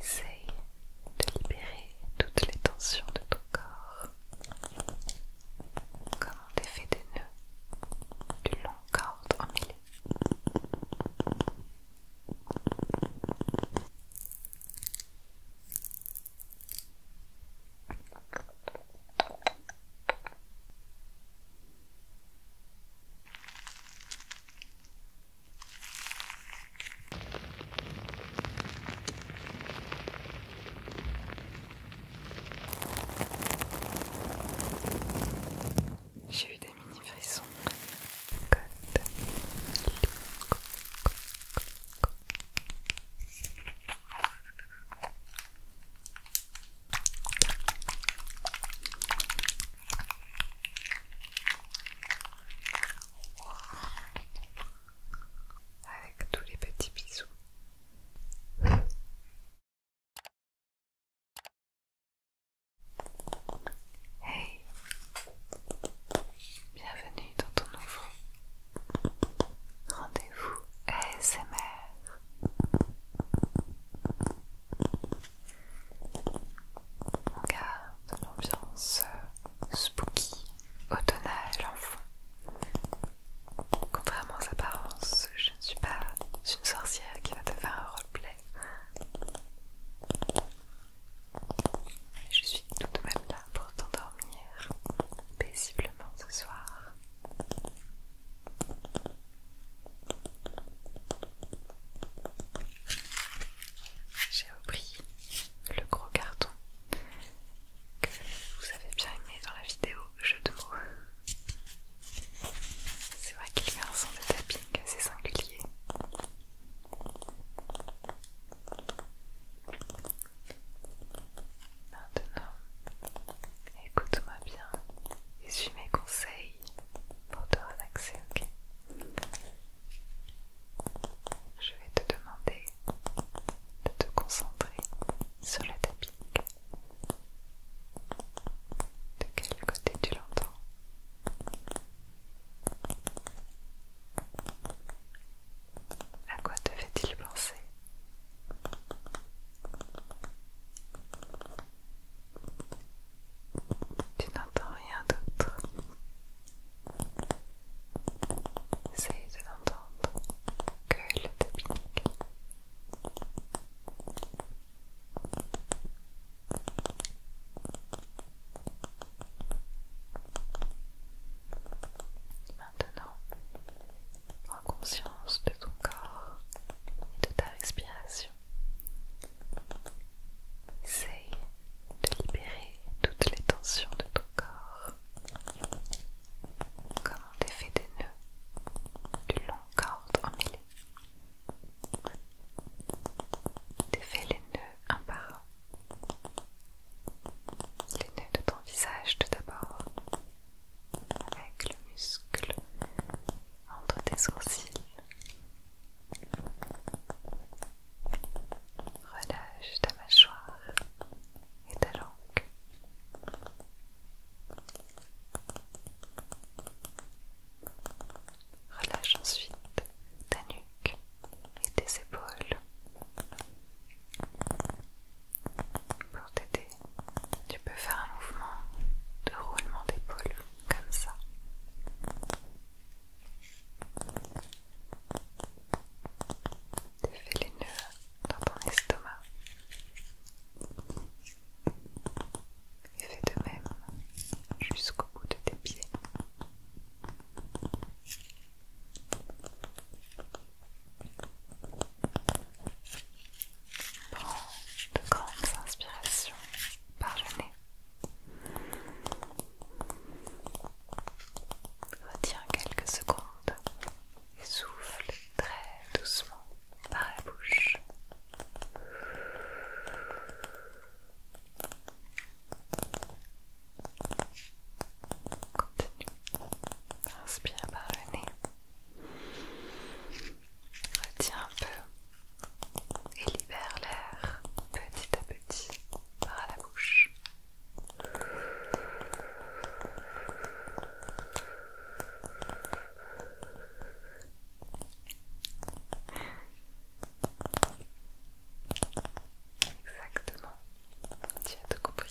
Essaye de libérer toutes les tensions de ton corps, comme on défait des nœuds d'une long corde en j'ai eu des mini frissons. Avec tous les petits bisous. Hey, bienvenue dans ton nouveau rendez-vous ASMR. On garde l'ambiance euh, spooky, automnale en fond. Contrairement à apparence, je ne suis pas une sorcière qui va te faire un roleplay. Je suis tout de même là pour t'endormir paisiblement ce soir j'ai repris le gros carton que vous avez bien aimé dans la vidéo jeu de mots. C'est vrai qu'il fait un son de tapping assez singulier. Maintenant, écoute-moi bien et suis mes conseils pour te relaxer, ok je vais te demander de te concentrer sur le tapis. De quel côté tu l'entends À quoi te fait-il penser tu n'entends rien d'autre. Essaye de l'entendre que le tapping. Maintenant, prends conscience de ton corps et de ta respiration. Essaye de libérer toutes les tensions de ton corps, comme on défait des nœuds du long en emmêlé. T'effais les nœuds un par un. Les nœuds de ton visage tout d'abord, avec le muscle entre tes sourcils. Relâche ta mâchoire et ta langue. Relâche ensuite ta nuque et tes épaules. Pour t'aider, tu peux faire un mouvement de roulement d'épaules comme ça. Défais les nœuds dans ton estomac et fais de même jusqu'au bout de tes pieds. Prends de grandes inspirations par le nez. Retiens quelques secondes et souffle très doucement par la bouche. Continue. Inspire par le nez. Retiens un peu et libère l'air petit à petit par la bouche. Exactement, tu as tout compris.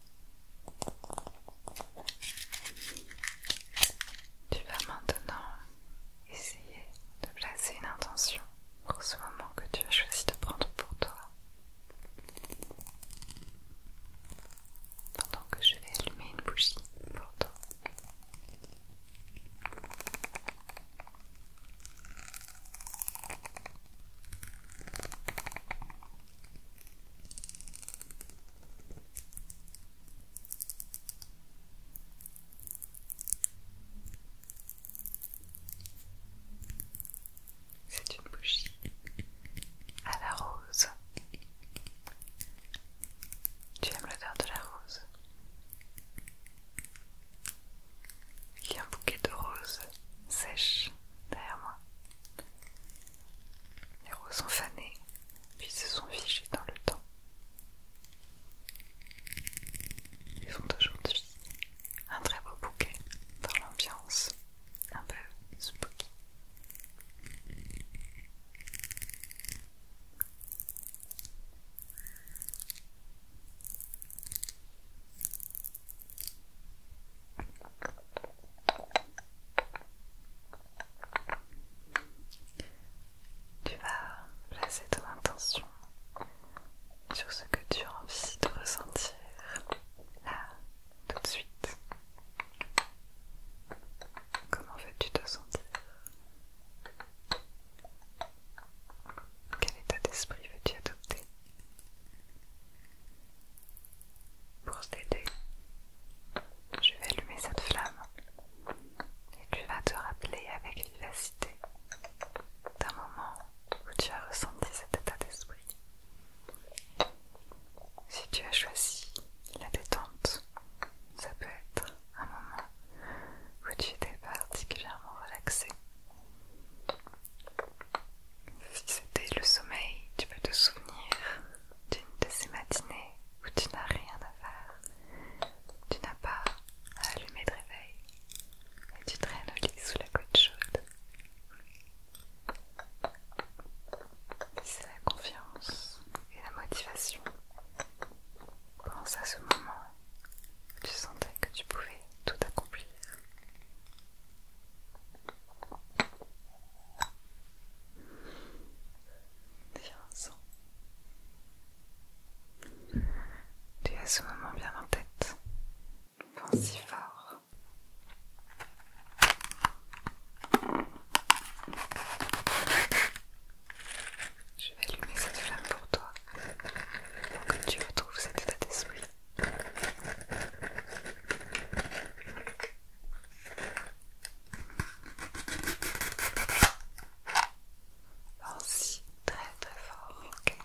Tu vas maintenant essayer de placer une intention pour ce moment que tu as choisi de prendre pour toi. Pendant que je vais allumer une bougie pour toi. C'est une bougie à la rose. Tu aimes l'odeur de la rose. Il y a un bouquet de roses sèches derrière moi. Les roses sont fanées puis se sont figés dans le temps. Ils font aujourd'hui un très beau bouquet dans l'ambiance un peu spooky. Tu vas placer ton intention sur ce que tu as envie de ressentir là, tout de suite. Comment veux-tu te sentir Quel état d'esprit veux-tu adopter pour t'aider, je vais allumer cette flamme et tu vas te rappeler avec vivacité d'un moment où tu as ressenti cet état d'esprit. Si tu as choisi la détente, ça peut être un moment où tu étais particulièrement relaxé. Si c'était le sommeil, tu peux te souvenir d'une de ces matinées où tu n'as rien à faire, tu n'as pas à allumer de réveil et tu traînes au lit sous la couette chaude. C'est la confiance et la motivation. Pense à ce moment où tu sentais que tu pouvais tout accomplir. Tu as ce moment bien en tête. Pense si fort. Je vais allumer cette flamme pour toi, pour que tu retrouves cet état d'esprit. Merci, très très fort, ok.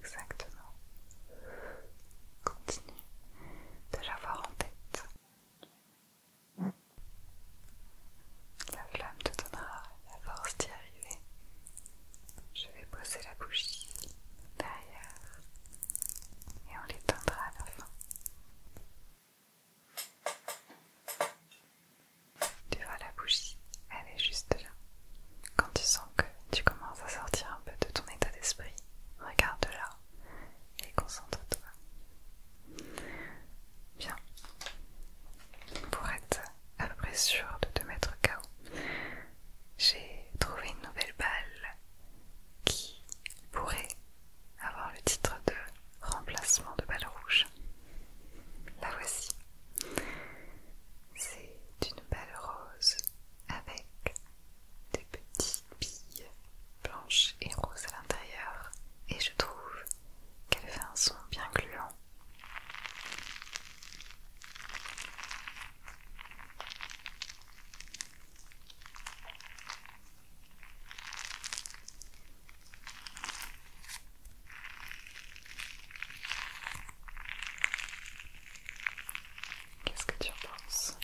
Exactement. Continue de l'avoir en tête. La flamme te donnera la force d'y arriver. Je vais poser la bougie derrière et on l'éteindra à la fin. Tu vois la bougie, elle est juste là. Quand tu sens que tu commences à sortir un peu de ton état d'esprit, regarde-la et concentre-toi. Bien. Pour être à peu près sûr de te mettre KO, j'ai trouvé une nouvelle balle qui pourrait avoir le titre de remplacement de balle rouge. La voici. C'est une belle rose avec des petites billes blanches et roses à l'intérieur et je trouve qu'elle fait un son bien gluant. Qu'est-ce que tu en penses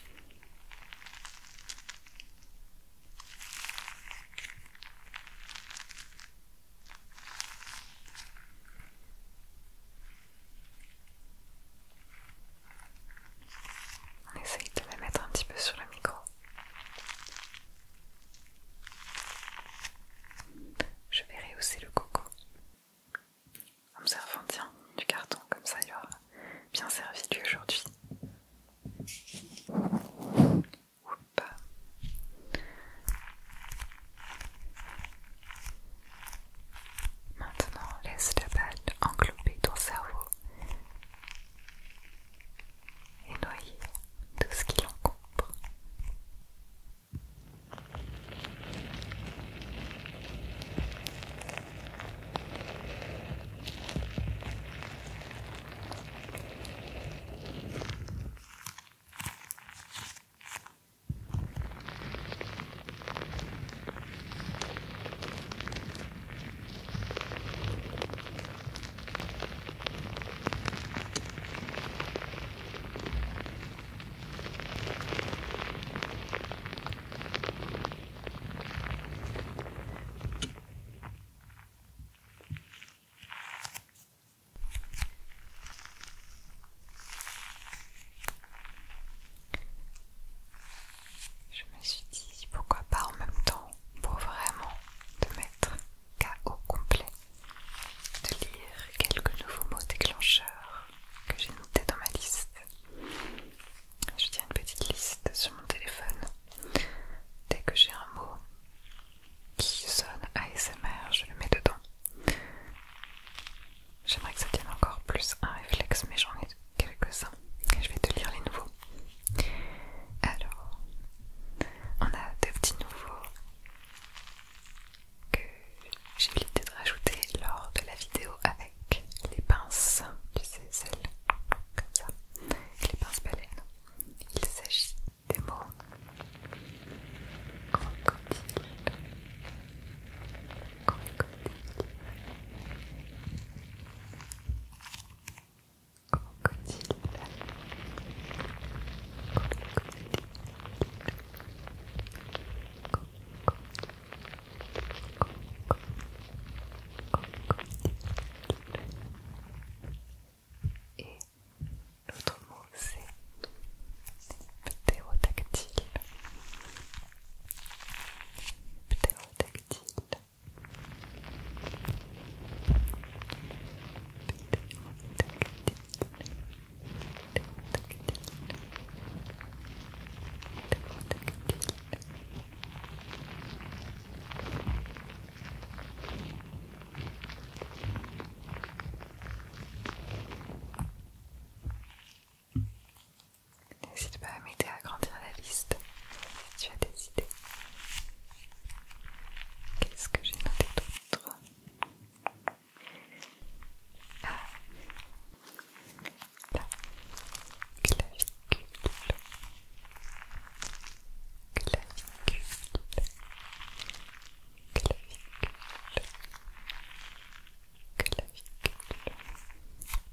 on essaye de la mettre un petit peu sur le micro. Je vais rehausser le coco en me tiens, du carton, comme ça il aura bien servi lui aujourd'hui. Maintenant, laisse la balle englober ton cerveau et noyer tout ce qui l'encombre. Je me suis dit pourquoi pas en même temps pour vraiment te mettre K.O. complet, de lire quelques nouveaux mots déclencheurs que j'ai notés dans ma liste. Je tiens une petite liste sur mon téléphone. Dès que j'ai un mot qui sonne ASMR, je le mets dedans. J'aimerais que ça tienne encore plus un réflexe, mais j'en ai quelques-uns. Je vais te lire les nouveaux. Alors, on a deux petits nouveaux que j'ai eu de rajouter lors de la vidéo avec les pinces, tu sais, celles comme ça, les pinces baleines. Il s'agit des mots Crocodile. Crocodile. Et l'autre mot c'est ptérodactyle. Ptérodactyle. N'hésite pas à m'aider à grandir la liste si tu as des idées. Qu'est-ce que j'ai noté d'autre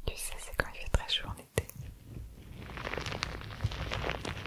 tu sais, c'est quand il fait très chaud en été.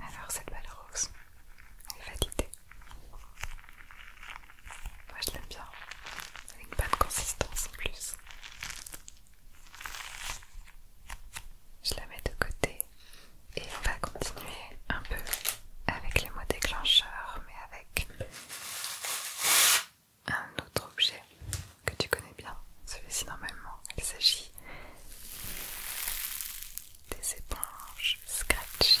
Alors cette balle rose, elle est validée. Moi je l'aime bien. Elle a une bonne consistance en plus. Je la mets de côté et on va continuer un peu avec les mots déclencheurs, mais avec un autre objet que tu connais bien. Celui-ci, normalement, il s'agit des éponges scratchy.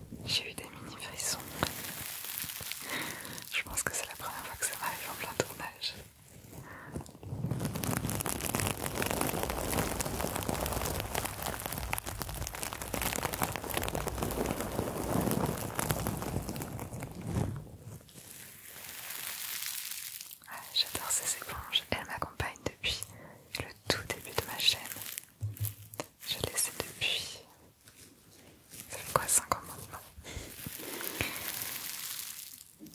J'ai eu des mini frissons. Je pense que c'est la première fois que ça m'arrive en plein tournage. J'adore ces éponges, elles m'accompagnent depuis le tout début de ma chaîne. Je les ai depuis ça fait quoi 5 mots?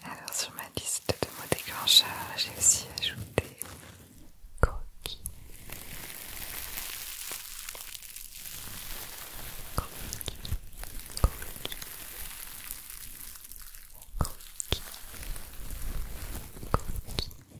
Alors sur ma liste de mots déclencheurs, j'ai aussi ajouté coquille. Coquille. Coquille. Coquille. Coquille.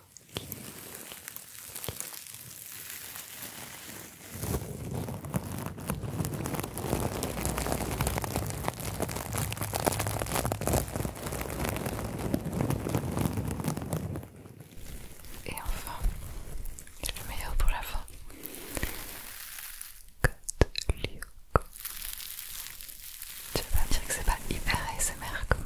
Et enfin, le meilleur pour la fin. Code Lyoko. Tu vas pas dire que c'est pas hyper ASMR comme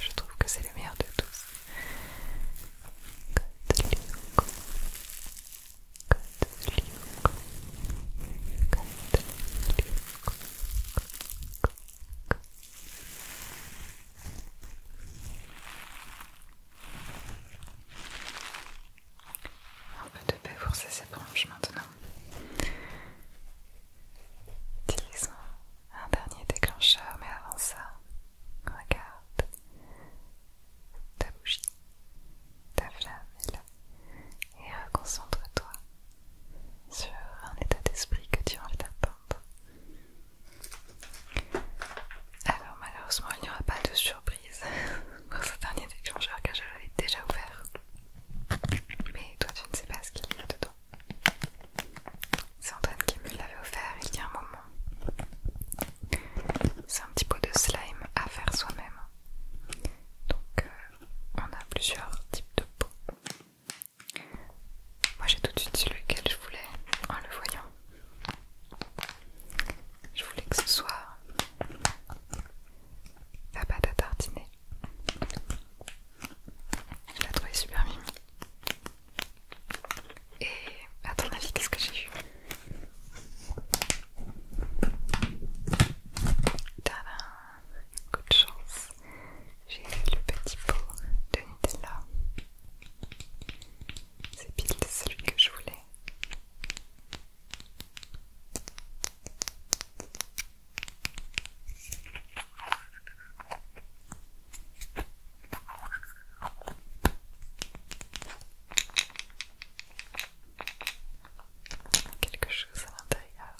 Je trouve que c'est le meilleur de tous. On va te Un peu de paix ces branches maintenant. Utilisons un dernier déclencheur, mais avant ça, regarde. Ta bougie, ta flamme Et reconcentre-toi sur un état d'esprit que tu as envie d'atteindre. Alors malheureusement, il n'y aura pas de surprise pour ce dernier déclencheur car je l'avais déjà ouvert. Mais toi, tu ne sais pas ce qu'il y a dedans. C'est Antoine qui me l'avait offert il y a un moment. C'est un petit pot de slime à faire soi-même. Donc euh, on a plusieurs types de pots. Moi j'ai tout de suite su lequel je voulais en le voyant. Je voulais que ce soit la pâte à tartiner. Je la trouvé super mimi. Et à ton avis, qu'est-ce que j'ai eu Tada Coup de chance, j'ai le petit pot de Nutella. C'est pile celui que je voulais. Quelque chose à l'intérieur.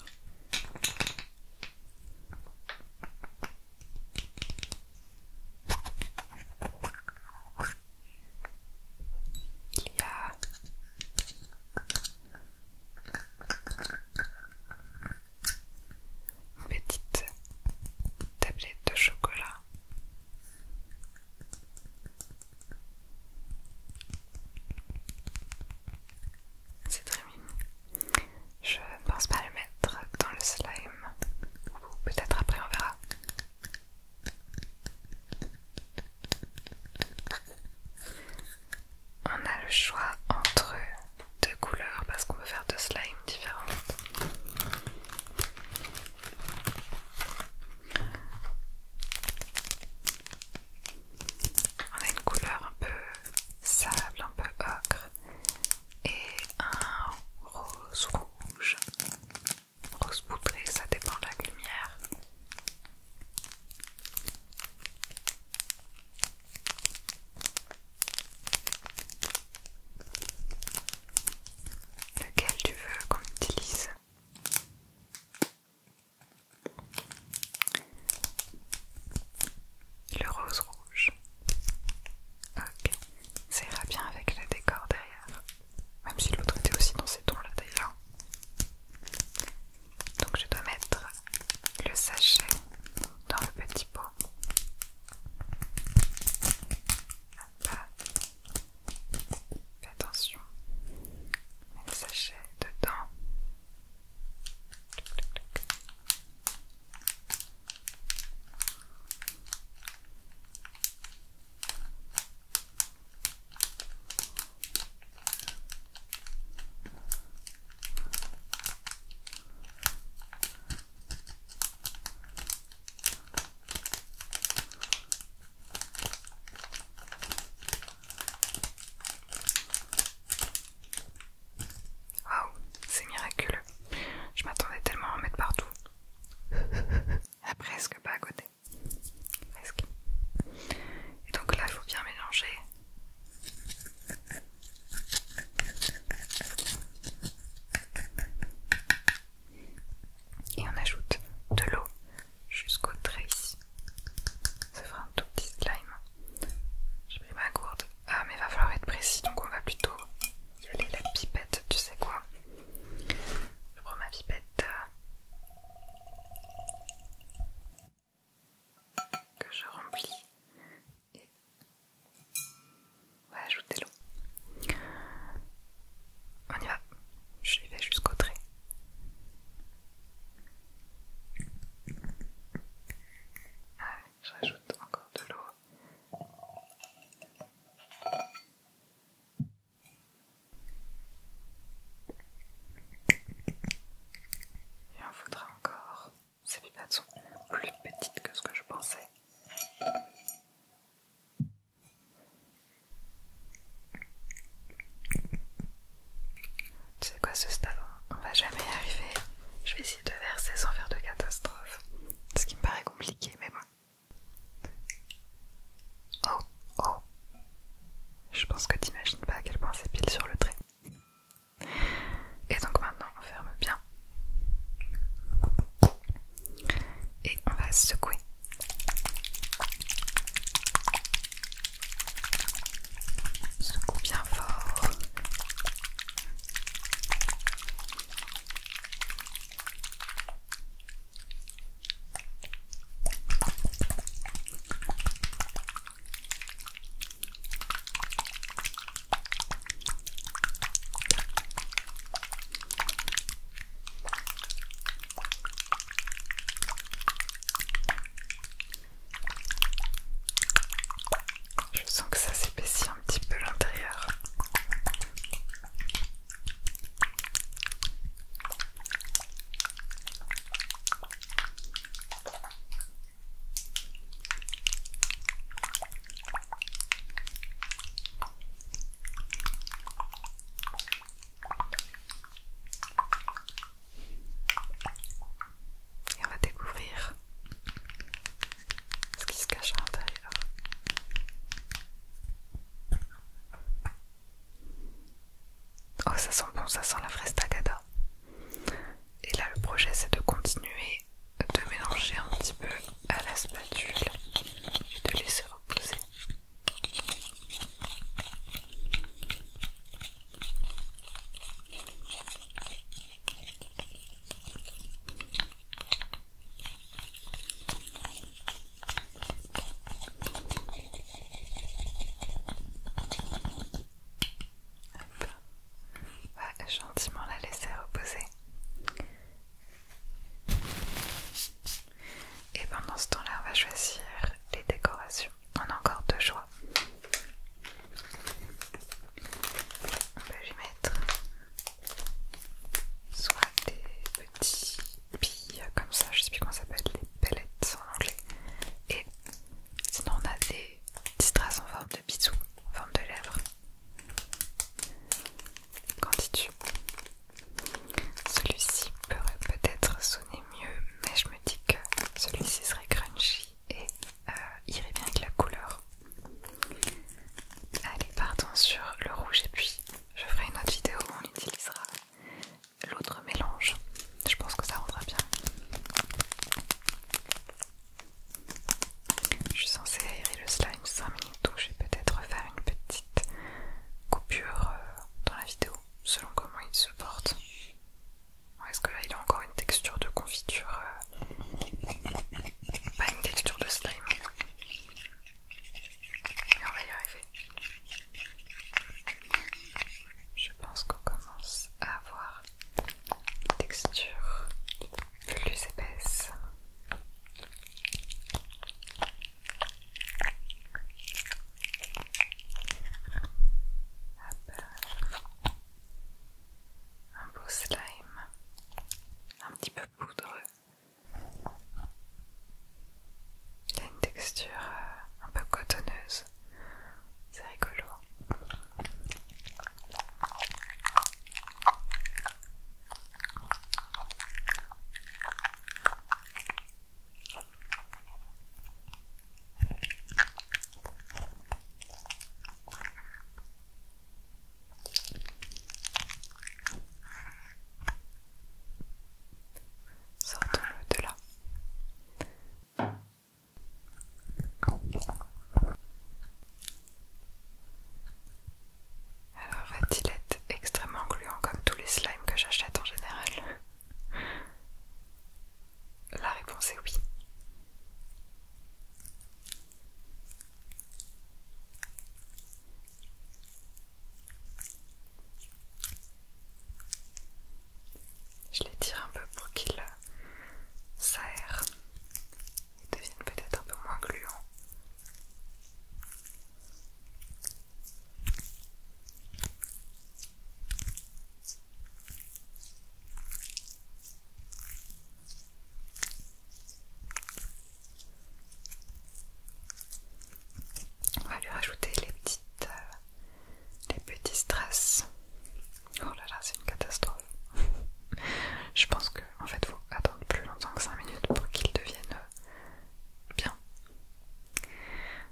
Petite tablette de chocolat. C'est très mignon. Je ne pense pas le mettre dans le slime. peut-être après on verra on a le choix entre deux couleurs parce qu'on peut faire deux slimes différentes. On a une couleur un peu sable, un peu ocre et un rose rouge. Rose poudrée, ça dépend de la lumière. Lequel tu veux qu'on utilise Le rose rouge. Ok, ça ira bien avec le décor derrière. Même si l'autre était aussi dans ces tons là d'ailleurs. Donc je dois mettre le sachet dans le petit pot. attention. le sachet dedans. Wow, c'est miraculeux. Je m'attendais tellement à en mettre partout. presque pas à côté. Presque. Et donc là, il faut bien mélanger et on ajoute de l'eau jusqu'au trait ici. Ça fera un tout petit slime. J'ai pris ma gourde. Ah, mais il va falloir être précis donc on va plutôt y aller la pipette, tu sais quoi. Je prends ma pipette que je remplis et on va ajouter l'eau. On y va, je vais jusqu'au trait. Ah, je rajoute encore de l'eau. Et on faudra encore. Ces sont plus petites que ce que je pensais. Tu sais quoi ce stade On va jamais y arriver. Je vais essayer de verser sans faire de catastrophe. Ce qui me paraît compliqué, mais bon. Oh, oh. Je pense que t'imagines pas à quel point c'est pile sur le trait. Et donc maintenant on ferme bien. Et on va secouer. secoue bien fort. Je sens que ça s'épaissit un petit peu l'intérieur. Et on va découvrir ce qui se cache à l'intérieur. Oh, ça sent bon, ça sent la fraise tagada. Et là, le projet, c'est de continuer de mélanger un petit peu à la spatule et de laisser reposer. On bah, va gentiment la laisser reposer. Et pendant ce temps-là, on va choisir les décorations. On a encore deux choix. On va lui mettre soit des petits billes comme ça, je ne sais plus comment ça s'appelle, les pellets en anglais, Sinon on a des petites traces en forme de bisou, en forme de lèvres. quand dis-tu Celui-ci pourrait peut-être sonner mieux, mais je me dis que celui-ci serait crunchy et euh, irait bien avec la couleur. Allez, partons sur le rouge et puis je ferai une autre vidéo où on utilisera l'autre mélange. Je pense que ça rendra bien. Je suis censée aérer le slime 5 minutes, donc je vais peut-être faire une petite coupure euh, dans la vidéo, selon comment il se porte. Est-ce que là il a encore une texture de confiture euh, Pas une texture de slime. Mais on va y arriver. Je pense qu'on commence à avoir texture plus épaisse. Un beau slime, un petit peu poudreux. Il une texture euh, un peu cotonneuse, c'est rigolo. Sortons-le de là. Alors, va-t-il être extrêmement gluant comme tous les slimes que j'achète en général La réponse est oui. Je les tire un peu pour qu'il euh, s'aère et deviennent peut-être un peu moins gluant On va lui rajouter les petites euh, les petits stress. Oh là là, c'est une catastrophe. Je pense que en fait, faut attendre plus longtemps que 5 minutes pour qu'ils deviennent euh, bien.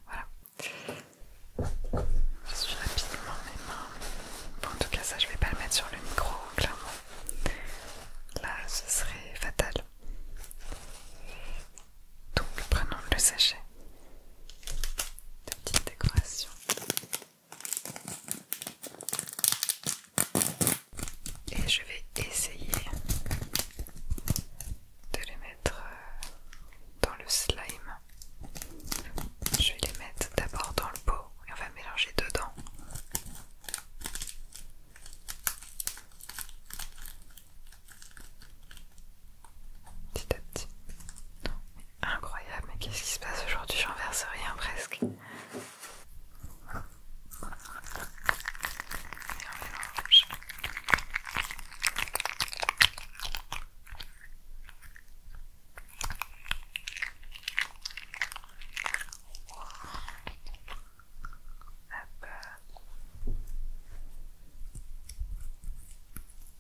Voilà. Je suis rapidement mes mains. Bon, en tout cas, ça, je vais pas le mettre sur le micro, clairement. Là, ce serait fatal. Donc, prenons le sachet. De petites décorations. Et je vais essayer de les mettre euh, dans le slime. Je vais les mettre d'abord dans le pot et on va mélanger dedans petit à petit. Incroyable, mais qu'est-ce qui se passe aujourd'hui J'en verse rien presque.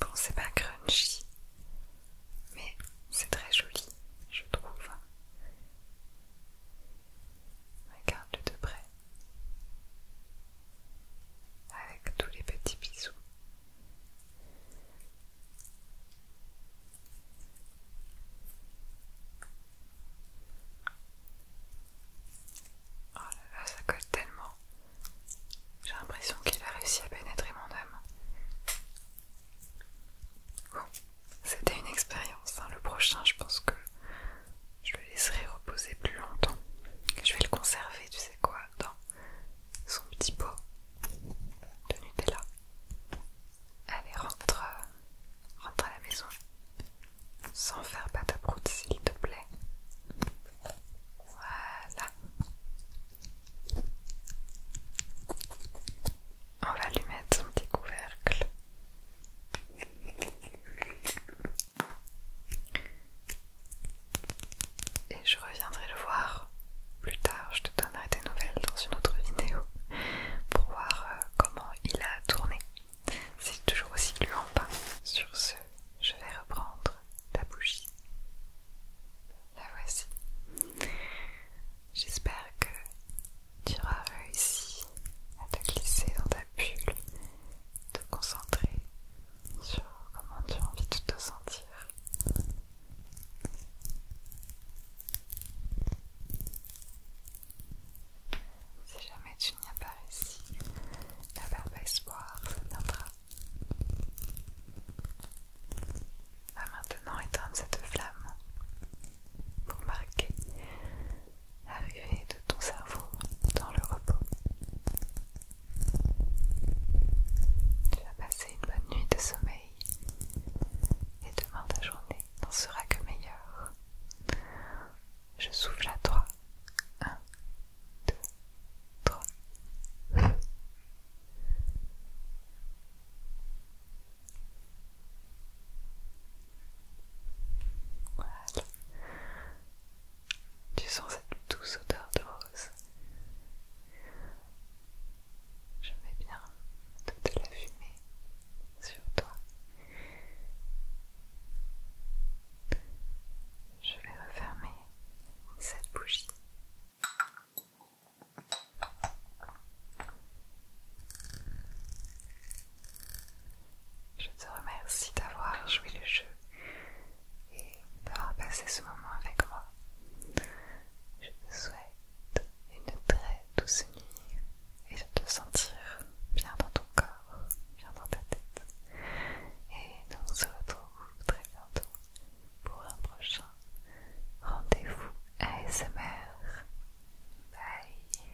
Bon, c'est pas crunchy, mais c'est très joli, je trouve. Regarde-le de près, avec tous les petits bisous. Oh là là, ça colle tellement. J'ai l'impression qu'il a réussi à pénétrer mon âme. Bon, c'était une expérience. Hein. Le prochain, je pense que je le laisserai reposer plus longtemps. Je vais le conserver, tu sais quoi, dans son petit pot de Nutella. Allez, rentre, rentre à la maison. Sans faire pâte à prout, s'il te plaît. Voilà. On va lui mettre son petit couvercle. Et je reviendrai le voir plus tard. Je te donnerai des nouvelles dans une autre vidéo pour voir euh, comment il a tourné. C'est toujours aussi en hein, pas. Sur ce, je vais reprendre ta bougie. La voici. J'espère que tu auras réussi à te glisser dans ta bulle, te concentrer sur comment tu as envie de te sentir. Si jamais tu n'y as pas réussi, la verbe espoir, ça viendra. Va maintenant éteindre cette flamme pour marquer l'arrivée de ton cerveau dans le repos. Tu vas passer une bonne nuit de sommeil et demain ta journée n'en sera que meilleure. Je souffle à toi deux, trois. Tu sens cette douce odeur de rose. Je mets bien te la fumée sur toi. Je vais refermer cette bougie. Je te remercie d'avoir joué le jeu et d'avoir passé ce moment avec moi. Je te souhaite une très douce nuit et de te sentir bien dans ton corps, bien dans ta tête. Et nous se retrouve très bientôt pour un prochain rendez-vous ASMR. Bye